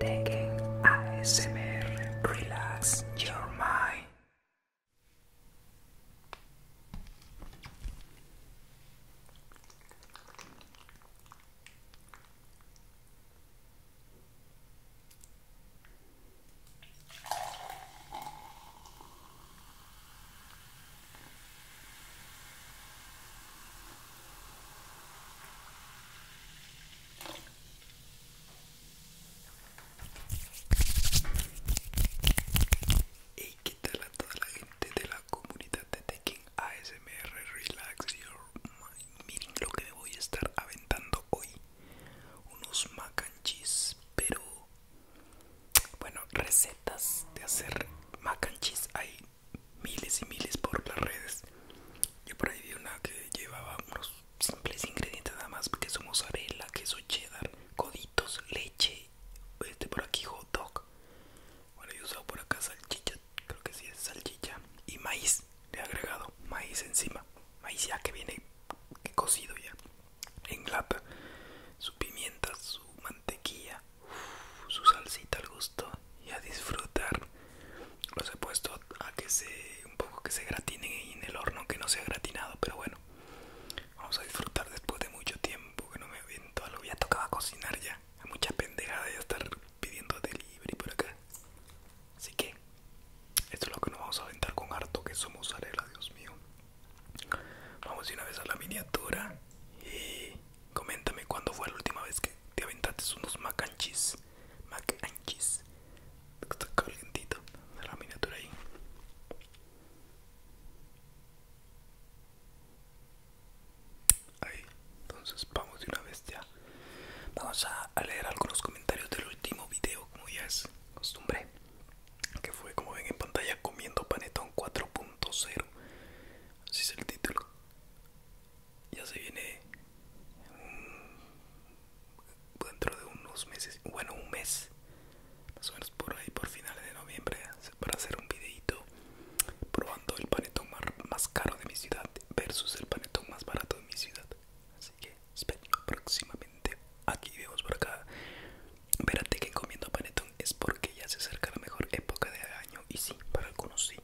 Taking a ASMR, relax your mind. Hey, ¿qué tal a toda la gente de la comunidad de Taking ASMR Relax Your Mind? Miren lo que me voy a estar aventando hoy: unos mac pero bueno, recetas de hacer mac and cheese miles y miles por las redes. Yo por ahí vi una que llevaba unos simples ingredientes nada más, Queso son mozzarella, queso cheddar, coditos, leche, este por aquí hot dog. Bueno, yo he usado por acá salchicha, creo que sí es salchicha. Y maíz, le he agregado maíz encima. Maíz ya que viene cocido ya en lata. Su pimienta, su mantequilla, su salsita al gusto y a disfrutar. Los he puesto a que se un poco que se gratinen en el horno, que no sea gratinado, pero bueno. Vamos a disfrutar después de mucho tiempo que no me avento algo. Ya tocaba cocinar ya. Hay mucha pendejada ya estar pidiendo delivery por acá. Así que esto es lo que nos vamos a aventar con harto que somos arela, Dios mío. Vamos de una vez a la miniatura y coméntame cuándo fue la última vez que te aventaste unos mac and Está la miniatura ahí. Ahí, entonces vamos de una vez ya. Vamos a leer algunos comentarios del último video, como ya es costumbre, que fue como ven en pantalla comiendo panetón 4.0. Así es el título ya se viene dentro de unos meses, bueno un mes, más o menos por ahí por finales de noviembre para hacer un videito probando el panetón más caro de mi ciudad versus el panetón más barato de mi ciudad. Así que espero próximamente. Aquí vemos por acá. espérate que comiendo panetón es porque ya se acerca la mejor época de año y sí, para algunos sí.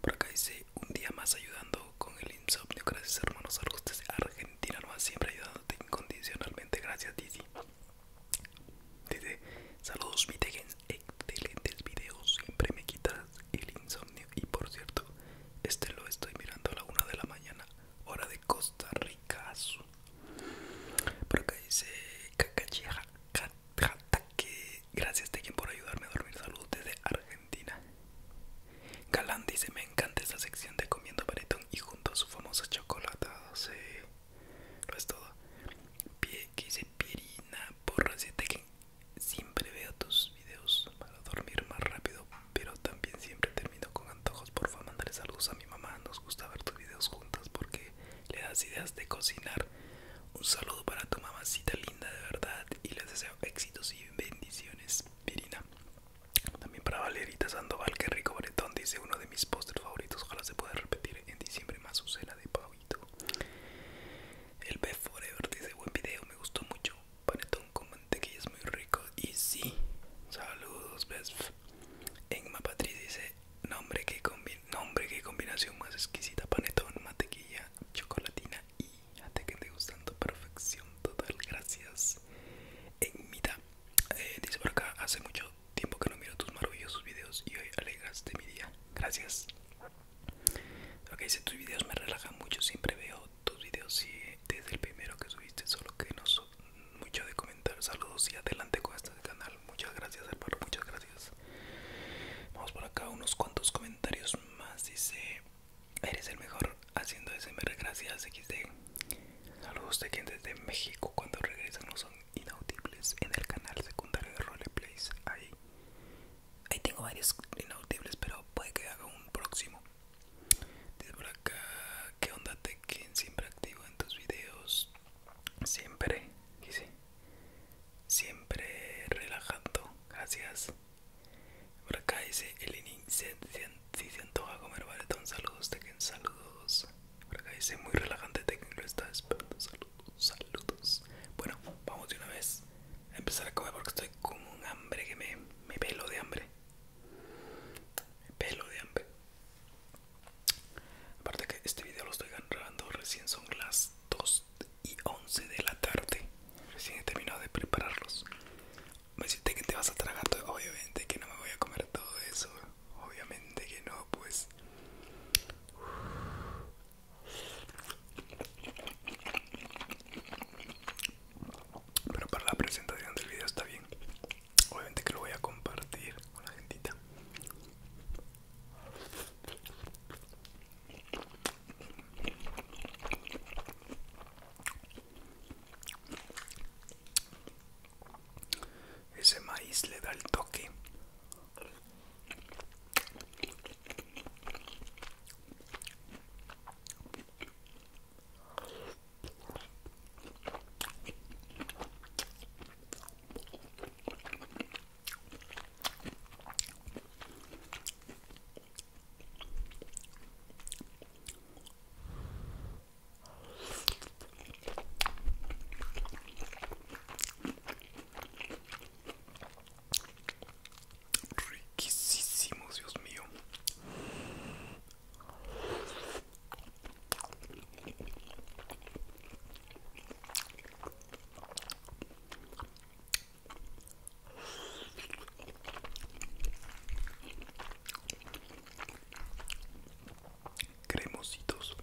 Por acá dice un día más ayudando con el insomnio. Gracias hermanos desde Argentina ha siempre ayudándote incondicionalmente. Gracias Didi. Dice, saludos mi excelentes videos. Siempre me quitas el insomnio. Y por cierto, este lo estoy mirando a la una de la mañana, hora de Costa Rica. Por acá dice Cacacheja. Gracias Gracias Tekken por ayudarme a dormir. salud desde Argentina. Galán dice, me encanta esta sección de comiendo baretón y junto a su famosa no sé, Lo es todo. Pie, que dice Pierina por Tekken. Siempre veo tus videos para dormir más rápido, pero también siempre termino con antojos. Por Porfa, mandaré saludos a mi mamá. Nos gusta ver tus videos juntas porque le das ideas de cocinar. Un saludo para tu mamacita linda de verdad y les deseo éxitos y bendiciones, Pirina. También para Valerita Sandoval, que rico panetón, dice uno de mis postres favoritos, ojalá se pueda repetir en diciembre más su cena de pavito. El be Forever dice buen video, me gustó mucho. Panetón con que es muy rico y sí. Saludos, Best. Enma Patriz dice Nombre que, nombre, combinación más exquisita, panetón, mantequilla, chocolatina y que gustando perfección total, gracias. En mitad, eh, dice por acá, hace mucho tiempo que no miro tus maravillosos videos y hoy alegraste mi día, gracias. Ok, dice, tus videos me relajan mucho, siempre veo tus videos y desde el primero que subiste, solo que no soy mucho de comentar, saludos y adelante con este canal Muchas gracias, hermano. Muchas gracias. Vamos por acá. Unos cuantos comentarios más. Dice: Eres el mejor haciendo SMR. Gracias, XD. Saludos de quien desde México. Cuando regresan, no son inaudibles en el canal secundario de Roleplays. Ahí, ahí tengo varios inaudibles, pero puede que haga un próximo. Dice por acá: ¿Qué onda, Tekken? Siempre activo en tus videos. Siempre siempre relajando. Gracias. Por acá dice Eleni siento a comer baletón. Saludos, quien Saludos. Por acá dice muy relajante que Lo está esperando. Saludos, saludos. Bueno, vamos de una vez a empezar a comer porque estoy con un hambre que me, me pelo de hambre. Me pelo de hambre. Aparte que este video lo estoy grabando recién, son las 2 y 11 de la tarde. Recién he terminado de prepararlos. Me dijiste que te vas a tragar todo. Obviamente que no me voy a comer todo eso. Obviamente que no, pues. Pero para la presentación del video está bien. Obviamente que lo voy a compartir con la gente Ese maíz le da el toque. Riquísimo, Dios mío cremositos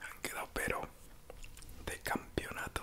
han quedado pero de campeonato.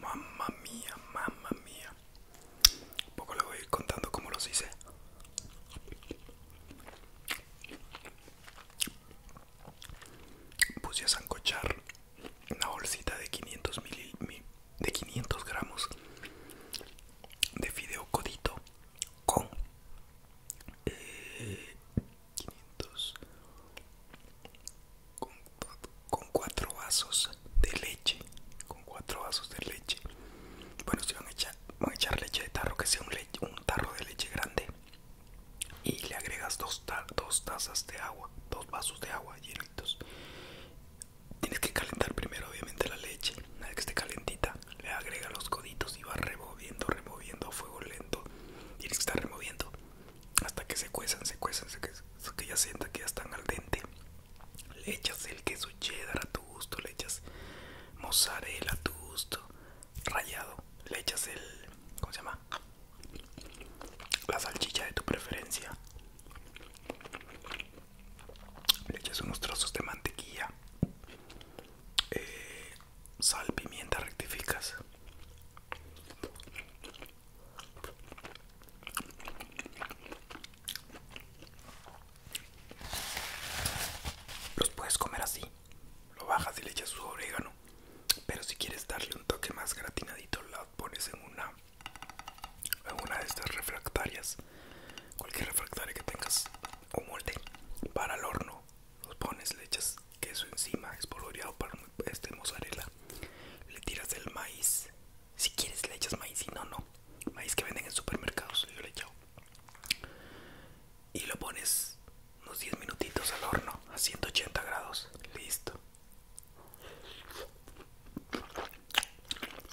Mamma mía, mamma mía. Un poco le voy contando cómo los hice. Puse a sancochar una bolsita de 500 de 500 gramos de fideo codito con 500 eh, con, cuatro vasos de leche con cuatro vasos de leche bueno si van a echar, a echar leche de tarro que sea un, un tarro de leche grande y le agregas dos, dos tazas de agua dos vasos de agua llenitos tienes que calentar primero obviamente la leche una vez que esté calentita le agrega los coditos y va removiendo, removiendo a fuego lento. y que estar removiendo hasta que se cuezan, se cuezan, se que ya sienta que ya están al dente. Le echas el queso cheddar a tu gusto, le echas mozzarella a tu gusto, rallado, le echas el, ¿cómo se llama? La salchicha de tu preferencia. Le echas unos trozos de mantequilla eh, sal, pimienta, rectificas. Los puedes comer así, lo bajas y le echas su orégano. Pero si quieres darle un toque más gratinadito, la pones en una, en una de estas refractarias. Cualquier refractaria que tengas un molde para el horno. Los pones, le echas queso encima, espolvoreado para este mozzarella. Le tiras el maíz. Si quieres le echas maíz, y no, no. Maíz que venden en supermercados, yo le echo. Y lo pones unos 10 minutitos al horno a 180 grados. Listo.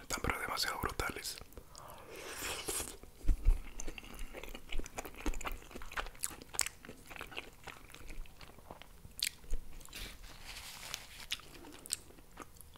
Están pero demasiado brutales.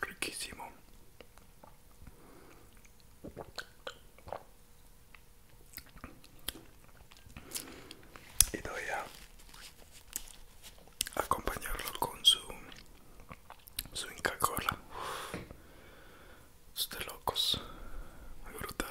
Riquísimo. Y voy a acompañarlo con su su Inca Cola este locos. Muy brutal.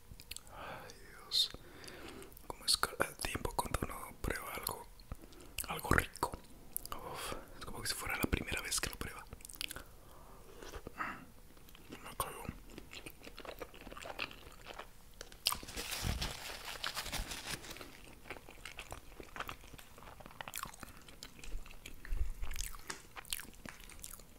Ay Dios, como escala el tiempo cuando uno prueba algo, algo rico. es como que si fuera la primera vez que lo prueba. Me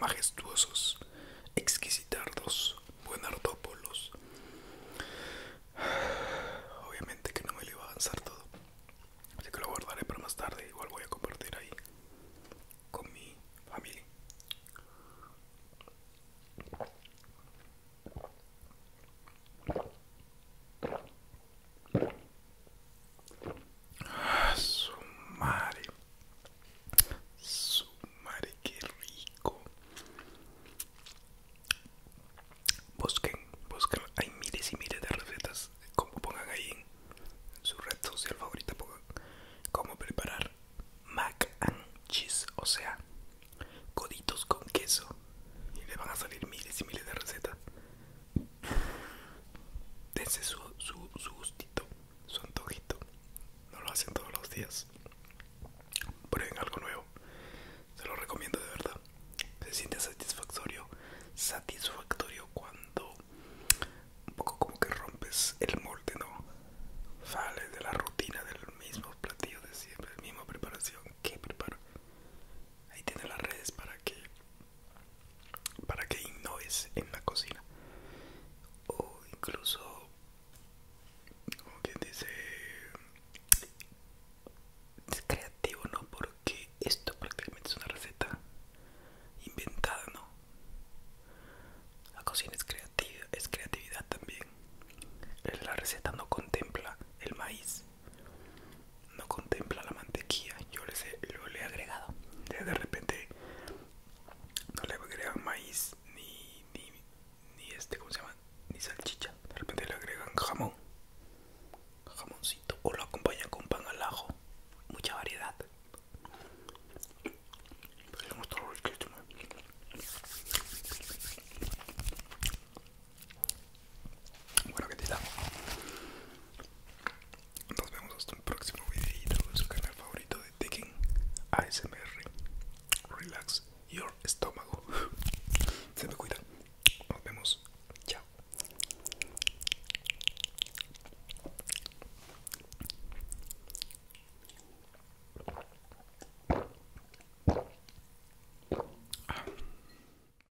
majestuosos, exquisitardos, buenardópolos. Obviamente que no me lo iba a avanzar todo, así que lo guardaré para más tarde. Igual voy a compartir ahí con mi familia. Ah, su madre. qué rico. Busquen, busquen. Hay miles y miles de recetas. Como pongan ahí en su red social favorita, pongan cómo preparar mac and cheese, o sea, coditos con queso. Y le van a salir miles y miles de recetas. Dense su, gustito, su antojito. No lo hacen todos los días. Prueben algo nuevo. Se lo recomiendo de verdad. Se siente satisfactorio. Satisfactorio cuando un poco como que rompes el molde, ¿no? Sales de la rutina del mismo platillo de siempre, misma preparación que preparo. Ahí tiene las redes para que para que innoves en la cocina o incluso como quien dice es creativo no porque esto prácticamente es una receta inventada no la cocina es creativa es creatividad también la receta no contempla el maíz no contempla la mantequilla yo le sé lo le he agregado de repente no le agregan maíz ni, ni este cómo se llama ni salchicha de repente le agregan jamón jamoncito o lo acompañan con pan al ajo mucha variedad pues, bueno, que te damos Nos vemos hasta un próximo video su canal favorito de Tekken ASMR. Relax your estómago. Se me cuida. Nos vemos. Chao.